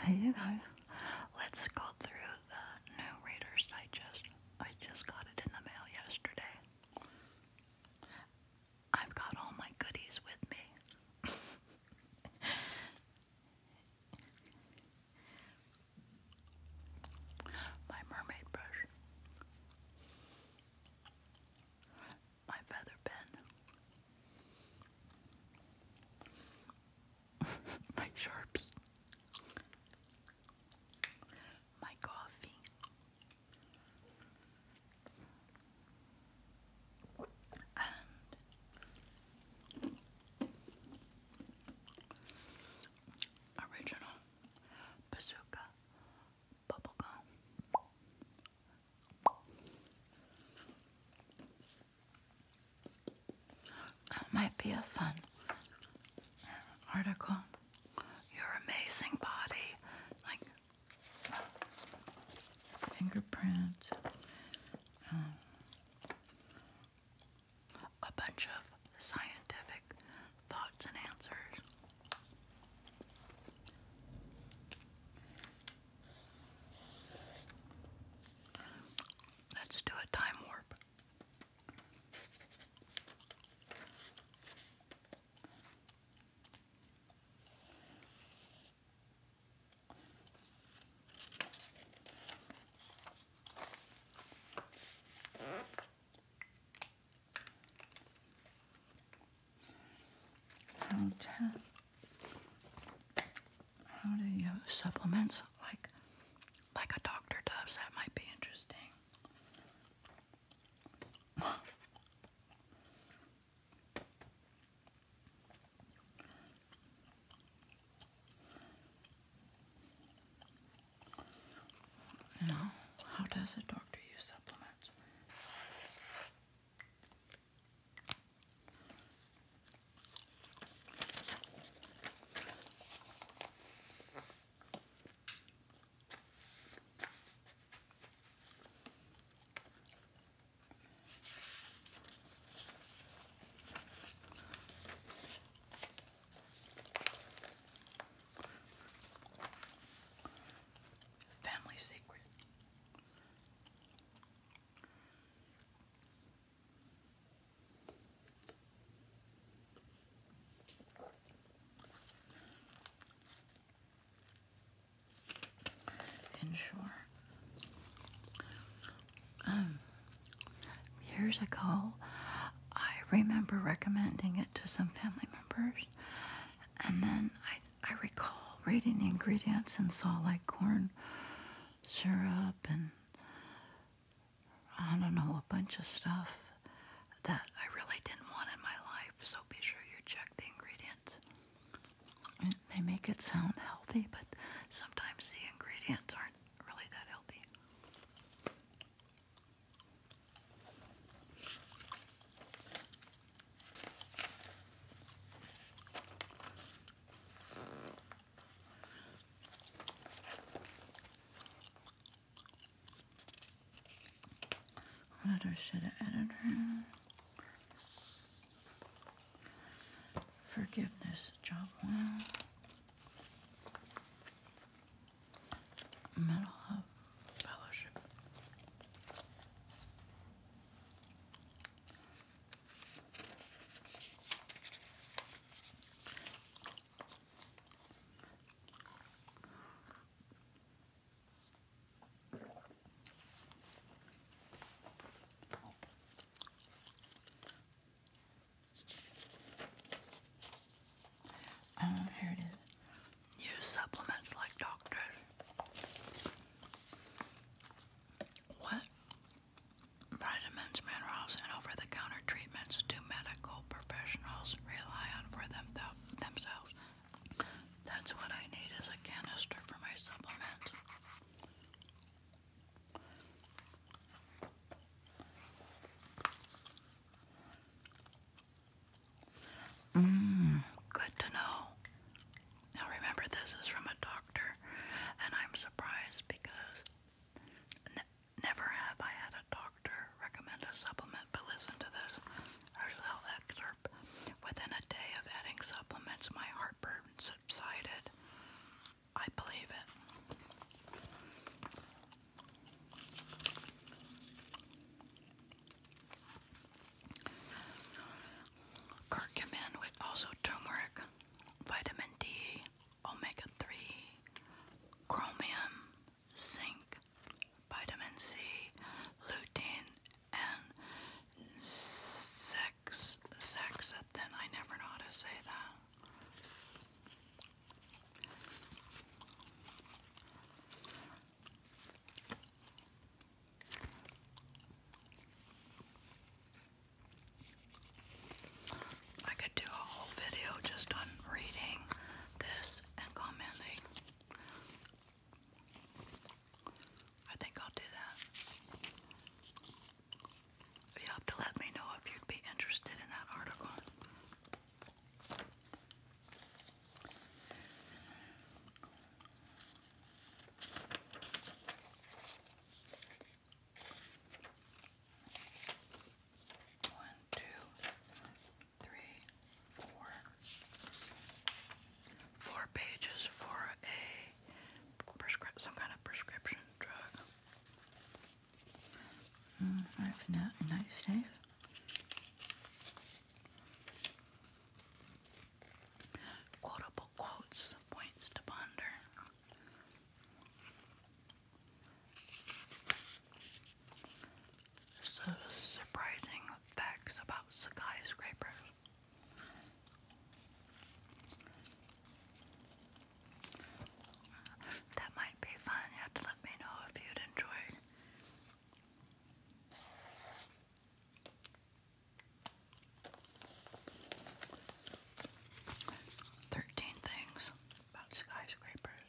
Hey you go. let's go through the new Reader's Digest. I just got it in the mail yesterday. I've got all my goodies with me. my mermaid brush. My feather pen. my Sharpie, my coffee. And original bazooka bubblegum. That might be a fun article. Your amazing body, like fingerprint, um, a bunch of scientific thoughts and answers. Let's do a time warp. Okay. How to use supplements like like a doctor does. That might be interesting. you how does a doctor use supplements? Family secret sure, years um, ago, I remember recommending it to some family members, and then I I recall reading the ingredients and saw like corn syrup and I don't know, a bunch of stuff that I really didn't want in my life. So be sure you check the ingredients. they make it sound healthy, but sometimes the ingredients aren't really that healthy. Letter should have editor. Forgiveness, job one. Metal hub fellowship. Um, here Use supplements like doctors. What vitamins, minerals, and over the counter treatments do medical professionals rely on for them themselves? That's what I need is a canister for my supplements. Mmm, good to know. Now remember, this is from a doctor, and I'm surprised because never have I had a doctor recommend a supplement, but listen to this. Within a day of adding supplements, my heartburn subsided. I believe it. Curcumin also turmeric, vitamin D, omega 3, chromium, zinc, vitamin C, lutein, and sex, sexathin. I never know how to say that. I could do a whole video just on reading this and commenting. I think I'll do that. You have to let me know if you'd be interested in that article. One, two, three, four. Four pages for a prescription, some kind of prescription drug. Mm, United States. Quotable quotes, points to ponder. So surprising facts about skyscrapers. That might be fun. You have to let me know if you'd enjoy. Thirteen things about skyscrapers.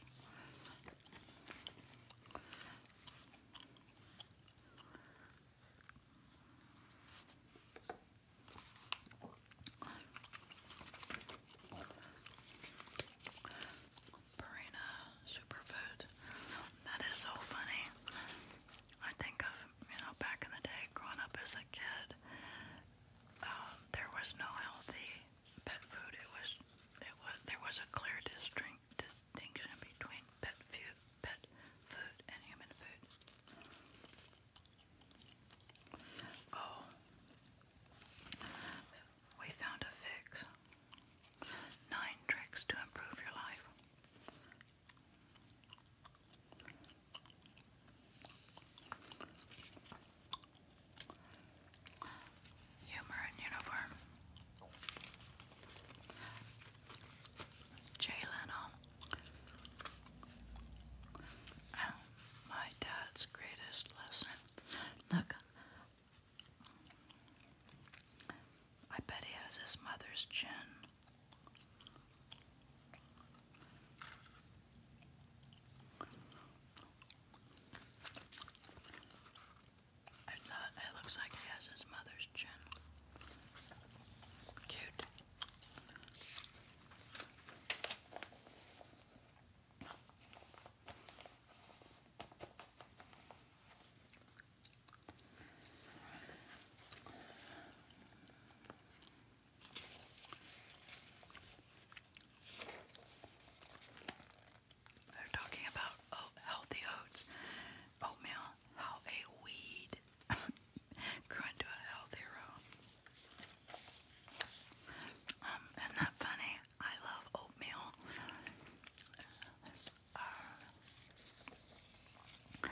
Purina Superfood. That is so funny. I think of, you know, back in the day, growing up as a kid, um, there was no healthy pet food. It was, it was, there was a clear distinction between pet food, pet food and human food. Oh, we found a fix. Nine tricks to improve your life. Humor in uniform. Jay Oh, my dad's greatest lesson. Look, I bet he has his mother's chin it looks like he has his mother's chin. Cute. They're talking about oh, healthy oats, oatmeal, how a weed grew into a healthy row. Um, isn't that funny? I love oatmeal. Um,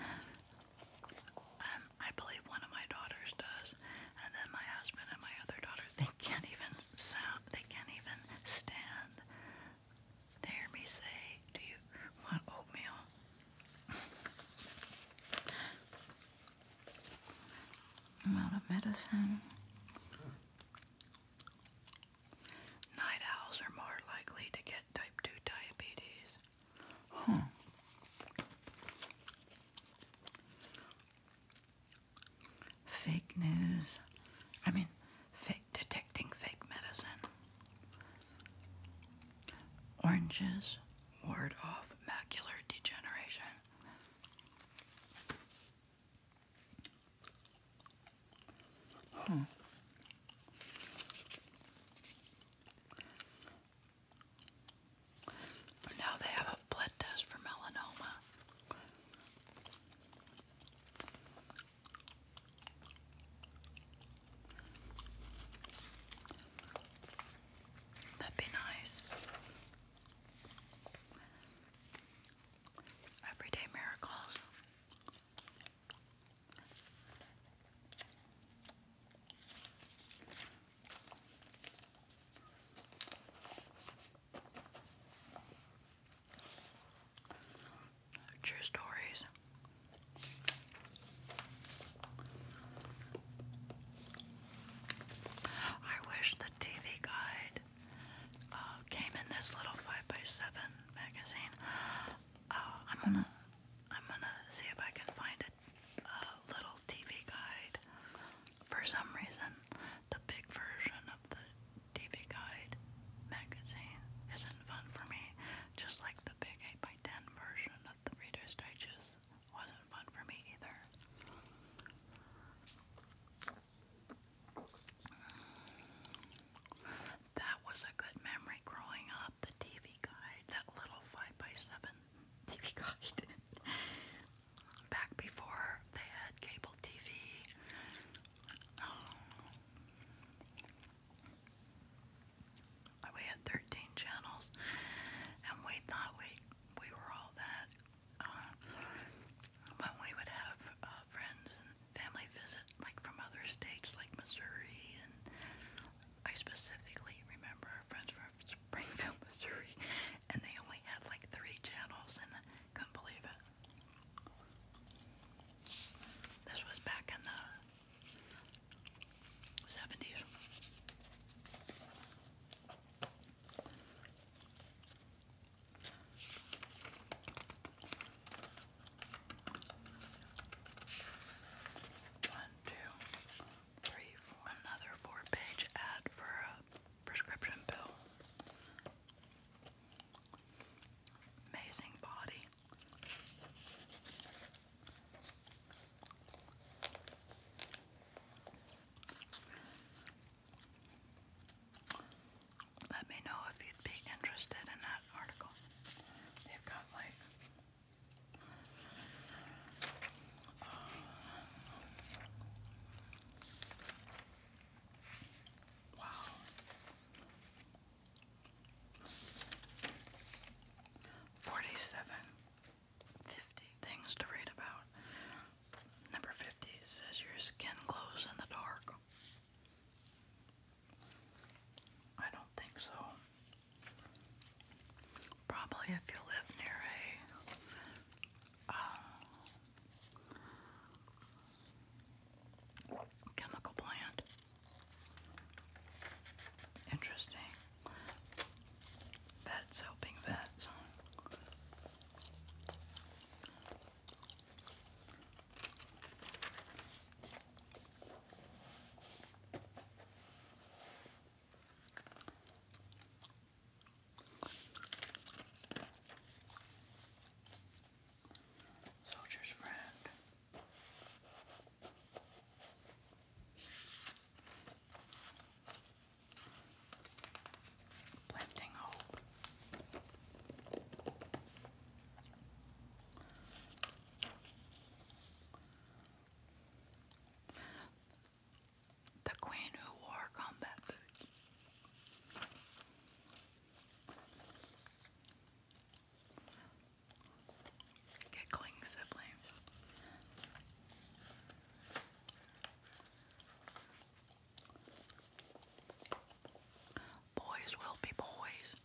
I believe one of my daughters does, and then my husband and my other daughter. They can't even sound. They can't even stand to hear me say, "Do you want oatmeal?" I'm out of medicine. Night owls are more likely to get type 2 diabetes. Fake news. I mean, fake detecting fake medicine. Oranges ward off macular degeneration. Hmm. Now they have a blood test for melanoma. That'd be nice. Everyday miracles. True stories. I wish the TV guide uh, came in this little 5 by 7 magazine. Uh, I'm gonna I'm gonna see if I can find a, little TV guide. For some reason, the big version of the TV guide magazine isn't fun for me. Just like the big 8 by 10 version of the Reader's Digest wasn't fun for me either that was a good memory growing up. The TV guide, that little 5 by 7 TV guide. Back before they had cable TV. I um, we had 13 channels, and we thought we we were all that. Uh, we would have uh, friends family visit, like from other states, like Missouri, and I specifically remember friends from Springfield, Missouri, and they only had like three channels, and I couldn't believe it. This was back in the seventies. One, two, three, four. Another four-page ad for a prescription pill. Amazing body. Let me know if you'd be interested in that article. They've got like um, wow. Forty-seven, fifty things to read about. Number fifty it says your skin glows in the dark. I don't think so. Probably if you live near a um, chemical plant. Interesting. Vets helping vets. Soldier's friend. Planting hope. The Queen Who Wore Combat Boots. Giggling sibling. Boys will be boys.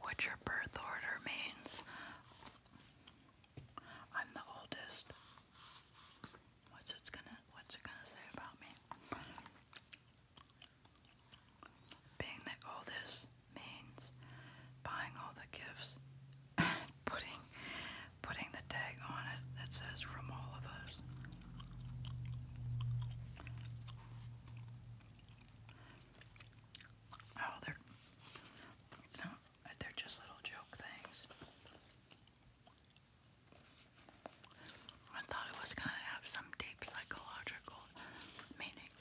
What your birth order means. I'm the oldest. What's it's gonna what's it gonna say about me? Being that all this means buying all the gifts, putting putting the tag on it that says from all of us. Oh, they're it's not they're just little joke things. I thought it was going to have some deep psychological meaning.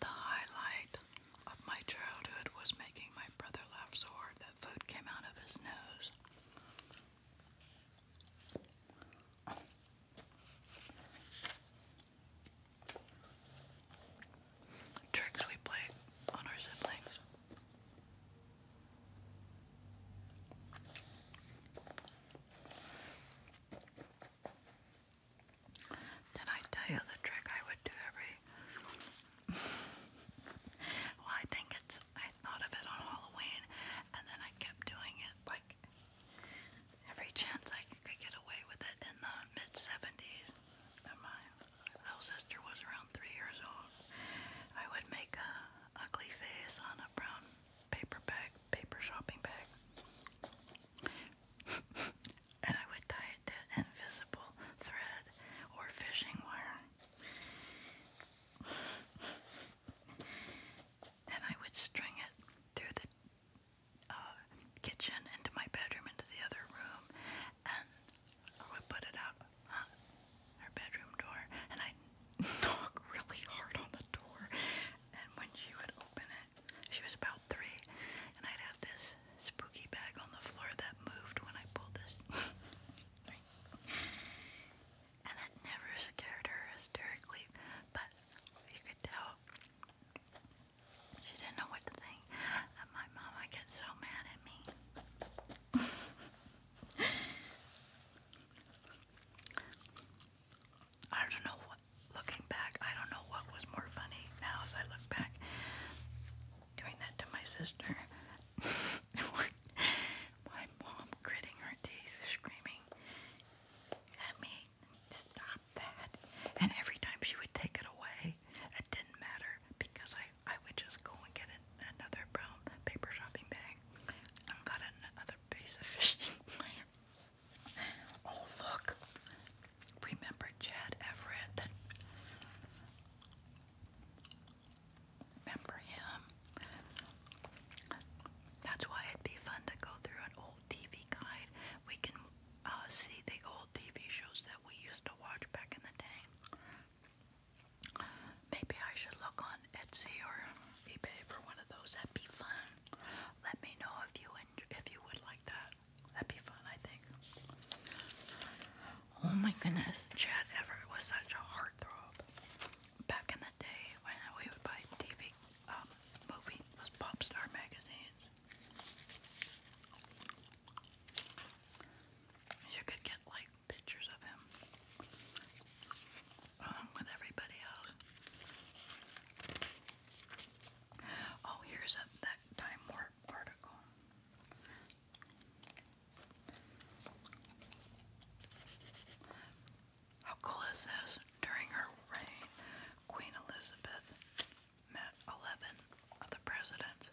The highlight of my childhood was making my brother laugh so hard that food came out of his nose. Tricks we played on our siblings. Did I tell you the trick I would do every? well, I think it's. I thought of it on Halloween, and then I kept doing it like every chance I could get away with it in the mid '70s. my little sister was around three years old, I would make a ugly face on a brown paper bag, paper shopping bag. and I would tie it to invisible thread or fishing wire. and I would string it through the uh, kitchen into my bedroom, into the other room, and I would put it out uh, her bedroom door, and i knock really hard on the door. And when she would open it, she was about three, and I'd have this spooky bag on the floor that moved when I pulled this. and it never scared her hysterically, but you could tell she didn't know what to think. And my mama gets so mad at me. I don't know what, looking back, I don't know what was more funny now as I look back. Doing that to my sister. my mom gritting her teeth, screaming at me, stop that. And every time she would take it away, it didn't matter because I I would just go and get another brown paper shopping bag and got another piece of fishing oh, look. Remember Chad Everett? Remember him? That's why it'd be fun to go through an old TV guide. We can uh, see the old TV shows that we used to watch back in the day. Maybe I should look on Etsy or eBay for one of those. That'd be fun. Let me know if you if you would like that. That'd be fun, I think. Oh my goodness, Chad Everett was such a heartthrob. Back in the day when we would buy TV, um, movie, those pop star magazines. You could get like pictures of him along with everybody else. Oh, here's that Time Warp article. How cool is this? During her reign, Queen Elizabeth met 11 of the presidents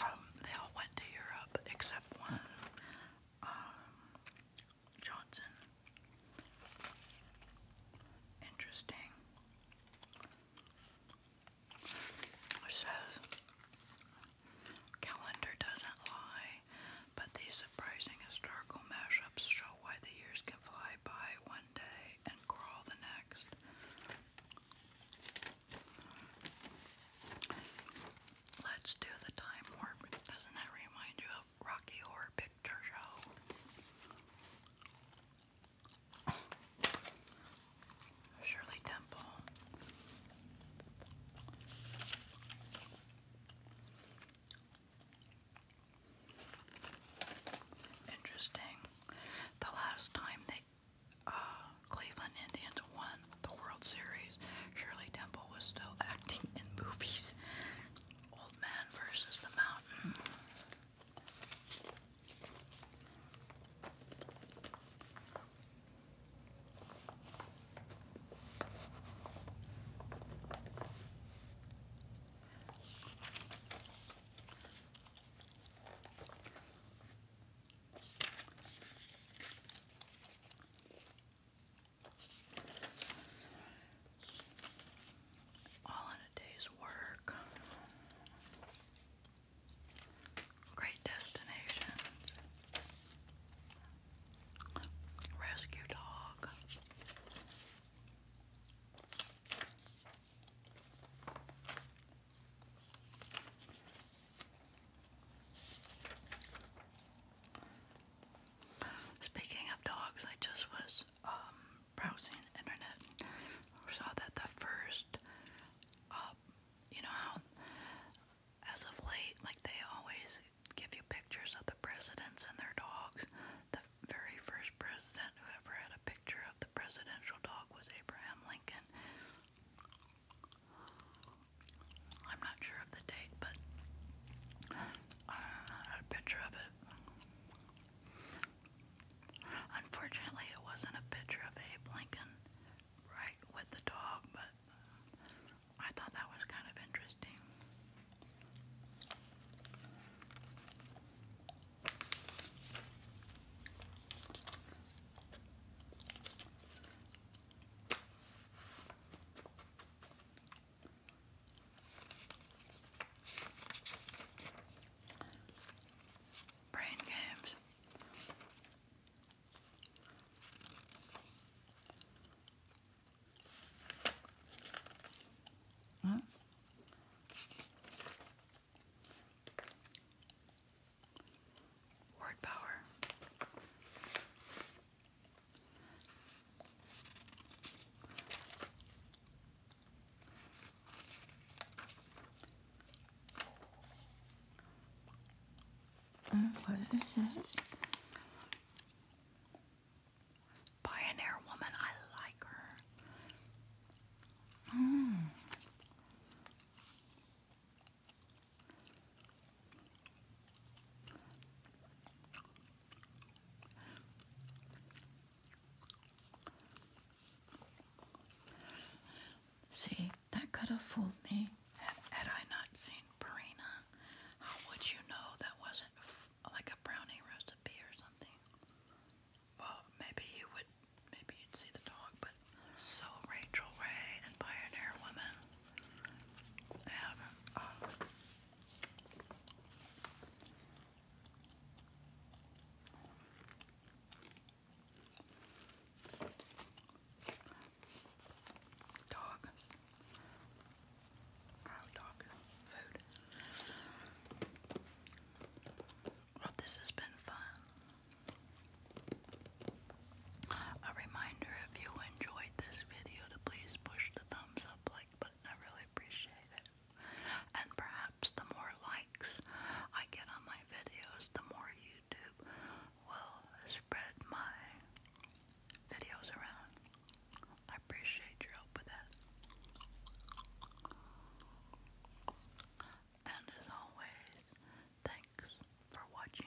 um, they all went to Europe except one, um, Johnson. Interesting. says, calendar doesn't lie, but these surprising historical mashups show why the years can fly by one day and crawl the next. Let's do the time warp. Doesn't that remind you of Rocky Horror Picture Show? Shirley Temple. Interesting. The last time they uh, Cleveland Indians won the World Series, Shirley Temple was still acting in movies. Old Man versus the Mountain. All in a day's work. Great destinations. Rescue dog. Speaking of dogs, I just was um, browsing internet and saw that the first, uh, you know how as of late, like they always give you pictures of the presidents and their dogs. The very first president who ever had a picture the presidential dog was Abraham Lincoln. I'm not sure of the date, but I had a picture of it. Unfortunately, it wasn't a picture of Abe Lincoln right with the dog, but I thought that was kind of interesting. Brain games. Huh? Hmm? Word power. Mm, what is it? Pioneer woman, I like her. Mm. See, that could have fooled me. Had, I not seen Purina, how would you know that wasn't like a brownie recipe or something? Well, maybe you would maybe you'd see the dog, but so Rachel Ray and Pioneer Woman and um, dog oh, dog food well, this has been fun. A reminder if you enjoyed this video to please push the thumbs up like button. I really appreciate it. And perhaps the more likes I get on my videos, the more YouTube will spread my videos around. I appreciate your help with that. And as always, thanks for watching.